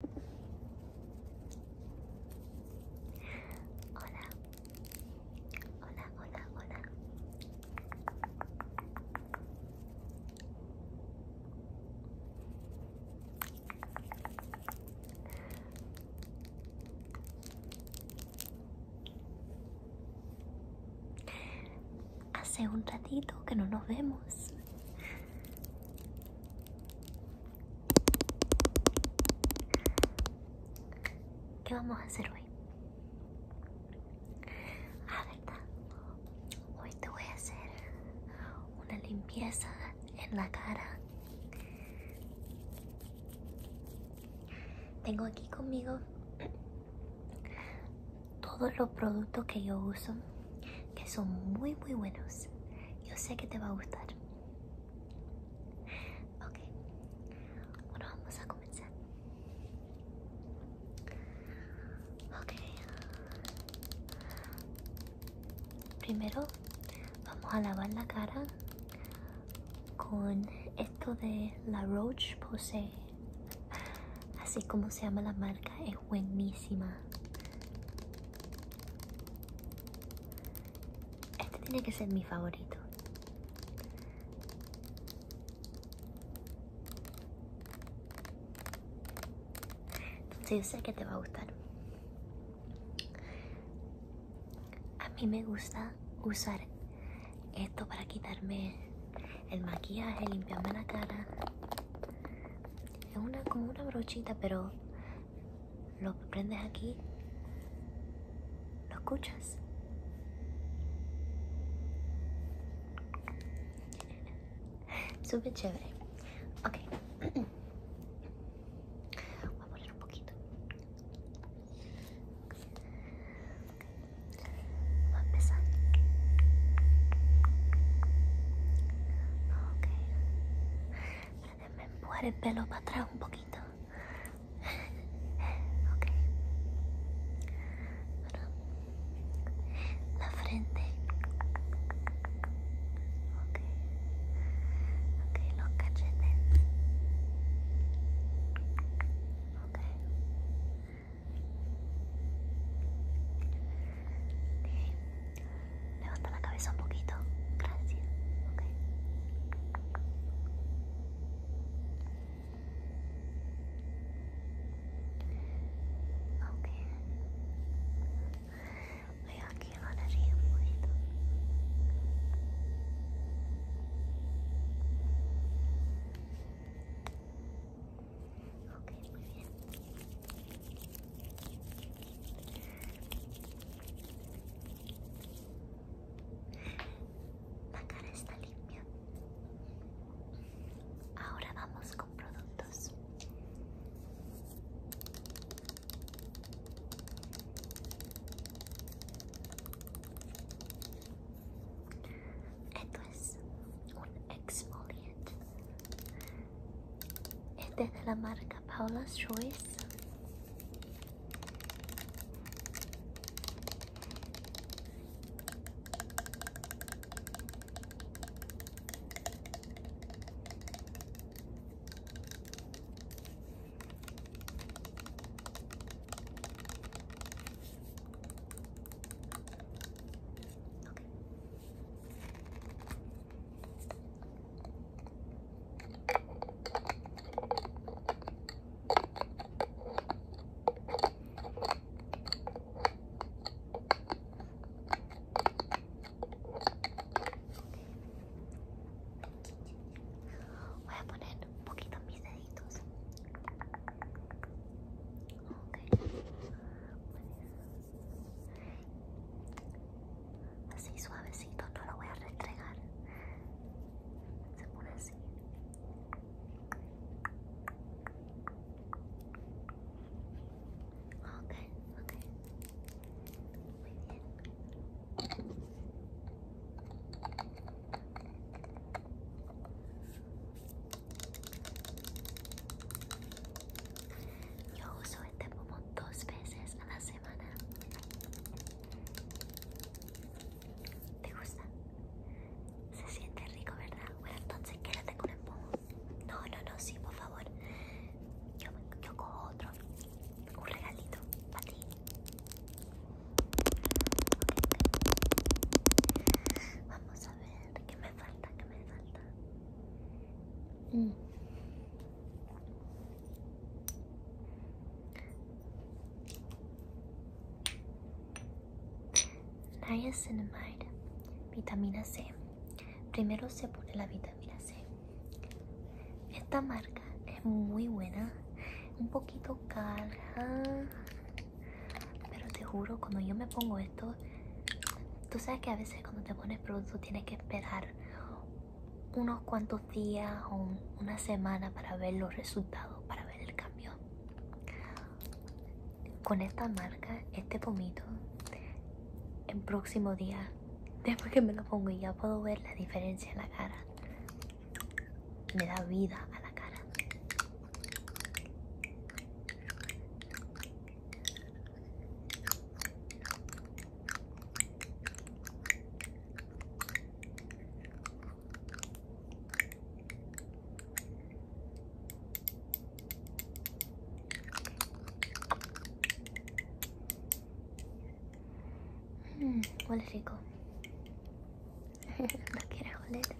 Hola, hola, hola, hola. Hace un ratito que no nos vemos. ¿Qué vamos a hacer hoy? Ah, ¿verdad? Hoy te voy a hacer una limpieza en la cara. Tengo aquí conmigo todos los productos que yo uso que son muy muy buenos yo sé que te va a gustar ok bueno vamos a comenzar ok primero vamos a lavar la cara con esto de la Roche posee así como se llama la marca buenísima. Este tiene que ser mi favorito. Entonces yo sé que te va a gustar. A mí me gusta usar esto para quitarme el maquillaje, limpiando la cara. Es una como una brochita, pero lo prendes aquí, lo escuchas. Súper chévere. Ok. Voy a poner un poquito vamos a empezar. Ok. Déjenme empujar el pelo para atrás un poquito. Ok. la frente. Ok. Ok, los cachetes. Ok. Levanta la cabeza un poquito. Gracias. Okay. Okay. Voy aquí a la nariz un poquito muy bien. La cara está limpia. Ahora vamos con productos. Esto es un exfoliante. Este es de la marca Paula's Choice. Voy a poner un poquito mis deditos oídos. Okay. Así suavecito, no lo voy a restregar. Se pone así. Ok, ok. Muy bien. Yo uso este pomo dos veces a la semana. ¿Te gusta? Se siente rico, ¿verdad? Bueno, entonces quédate con el pomo. No, no, no, sí, por favor. Yo, yo cojo otro. Un regalito para ti. Vamos a ver, ¿qué me falta? ¿Qué me falta? Mm. Niacinamide, vitamina C. Primero se pone la vitamina esta marca es muy buena, un poquito cara, pero te juro, cuando yo me pongo esto, tú sabes que a veces cuando te pones producto tienes que esperar unos cuantos días o una semana para ver los resultados, para ver el cambio. Con esta marca, este pomito, el próximo día. Después que me lo pongo ya puedo ver la diferencia en la cara. Me da vida a la cara. Mmm, huele rico. no quieres oler.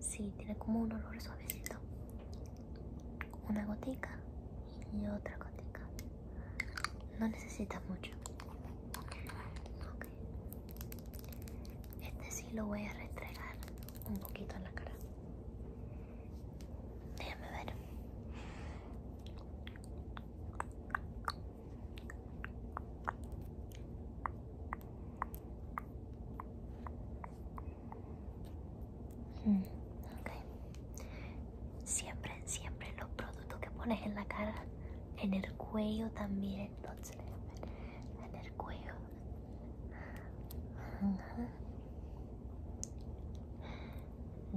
Sí, tiene como un olor suavecito. Una gotica y otra gotica. No necesitas mucho. Este sí lo voy a restregar un poquito en la cara. Déjame ver. Mm, siempre, siempre los productos que pones en la cara, en el cuello también. Entonces, en el cuello,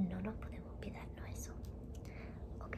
no nos podemos olvidarnos eso. Ok.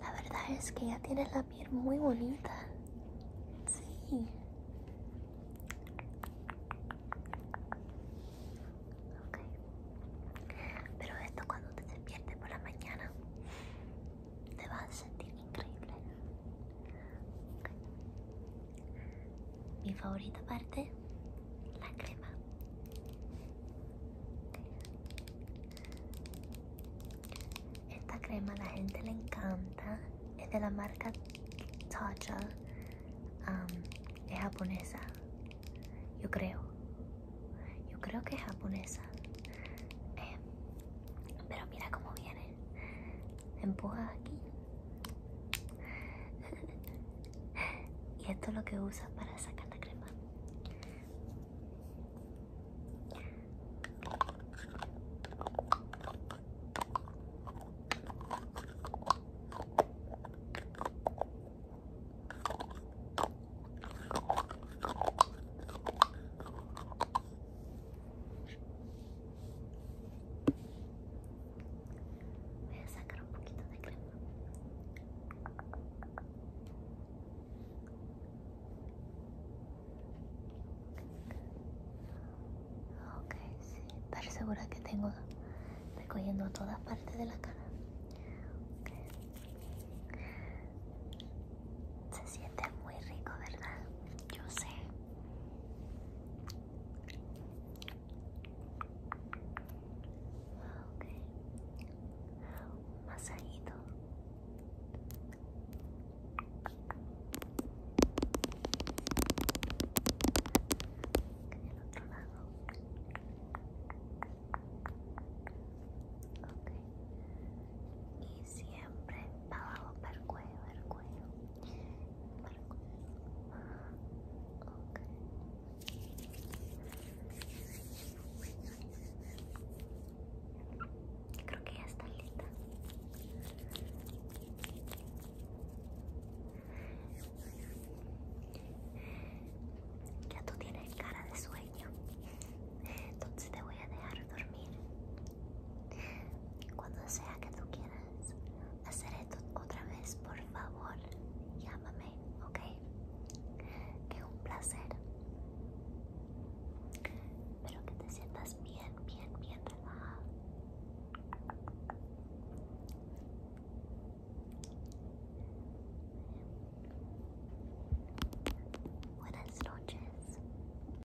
La verdad es que ya tienes la piel muy bonita. Sí. Pero esto cuando te despiertes por la mañana te va a sentir increíble mi favorita parte, la crema. Esta crema la gente le encanta. Es de la marca Tacha. es japonesa. Yo creo. Yo creo que es japonesa. Eh, pero mira cómo viene. Empuja aquí. y esto es lo que usa para sacar la crema Voy a sacar un poquito de crema. Ok, sí, estar segura que tengo recogiendo todas partes de la cara. Se siente muy rico, ¿verdad? Yo sé. Ok. Un masajito. Del otro lado. Ok. Y siempre abajo para el cuello, el cuello. Creo que ya está lista. Ya tú tienes cara de sueño, entonces te voy a dejar dormir cuando sea que tú quieras hacer esto otra vez, por favor, llámame, ¿ok? qué un placer. Pero que te sientas bien, bien, bien relajado. Buenas noches.